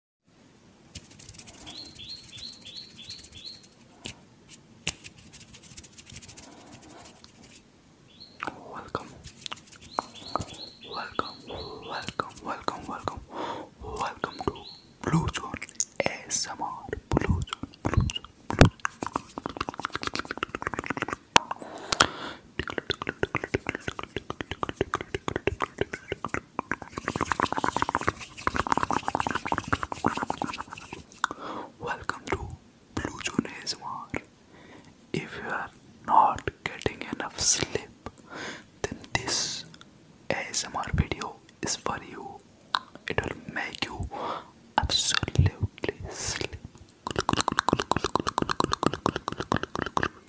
Welcome, welcome, welcome, welcome, welcome, welcome to Blue Zone ASMR. Blue Zone, Blue Zone, Blue Zone. Welcome to Blue ASMR. If you are not getting enough sleep, then this ASMR video is for you. It will make you absolutely sleep.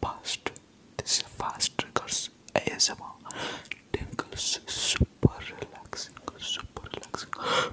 Past. This is fast triggers ASMR tingles, super relaxing, super relaxing.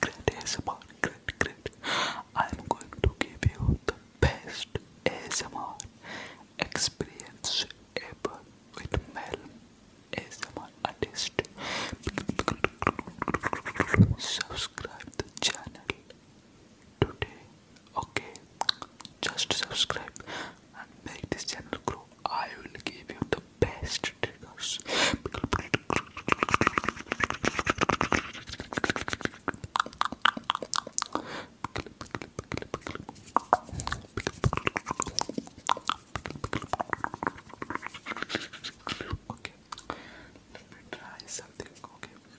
Great ASMR, great, great. I'm going to give you the best ASMR experience ever with Mel ASMR artist. Subscribe the channel today Okay, just subscribe and make this channel grow. I will give you the best triggers. Okay, let me try something. Okay.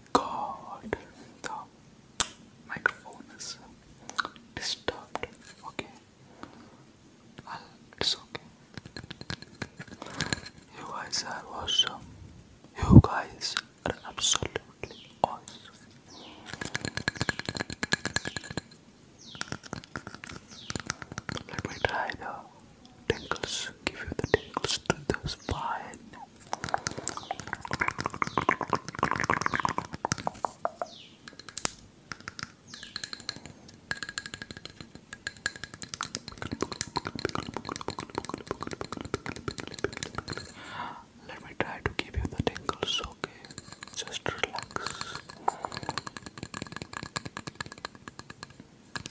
god, the microphone is disturbed. Okay, I'll, it's okay. You guys are awesome. You guys are absolutely awesome. Let me try the tingles, give you the tingles to those fine let me try to give you the tingles, okay? Just relax.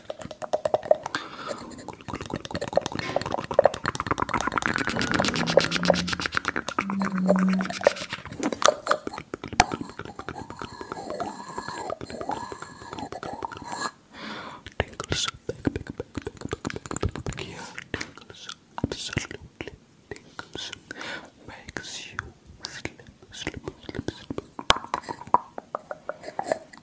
Tingles back, back, back, back, back, back here. Tingles, absolutely tingles. Makes you slip, slip, slip, slip.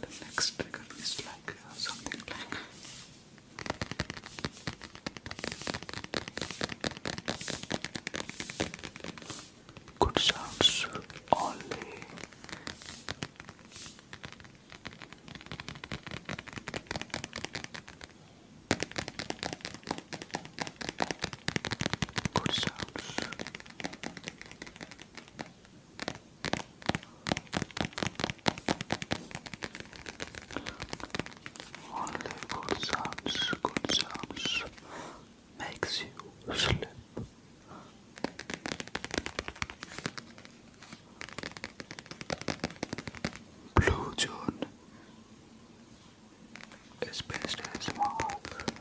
The next trigger is like uh, something like. Good sounds all Good sounds. Only good sounds, good sounds makes you sleep. Blue John is best as mouth.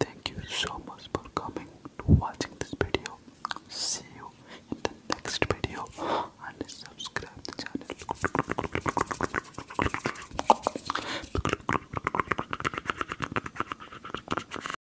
Thank you so much for coming to watching this video. See you in the next video and subscribe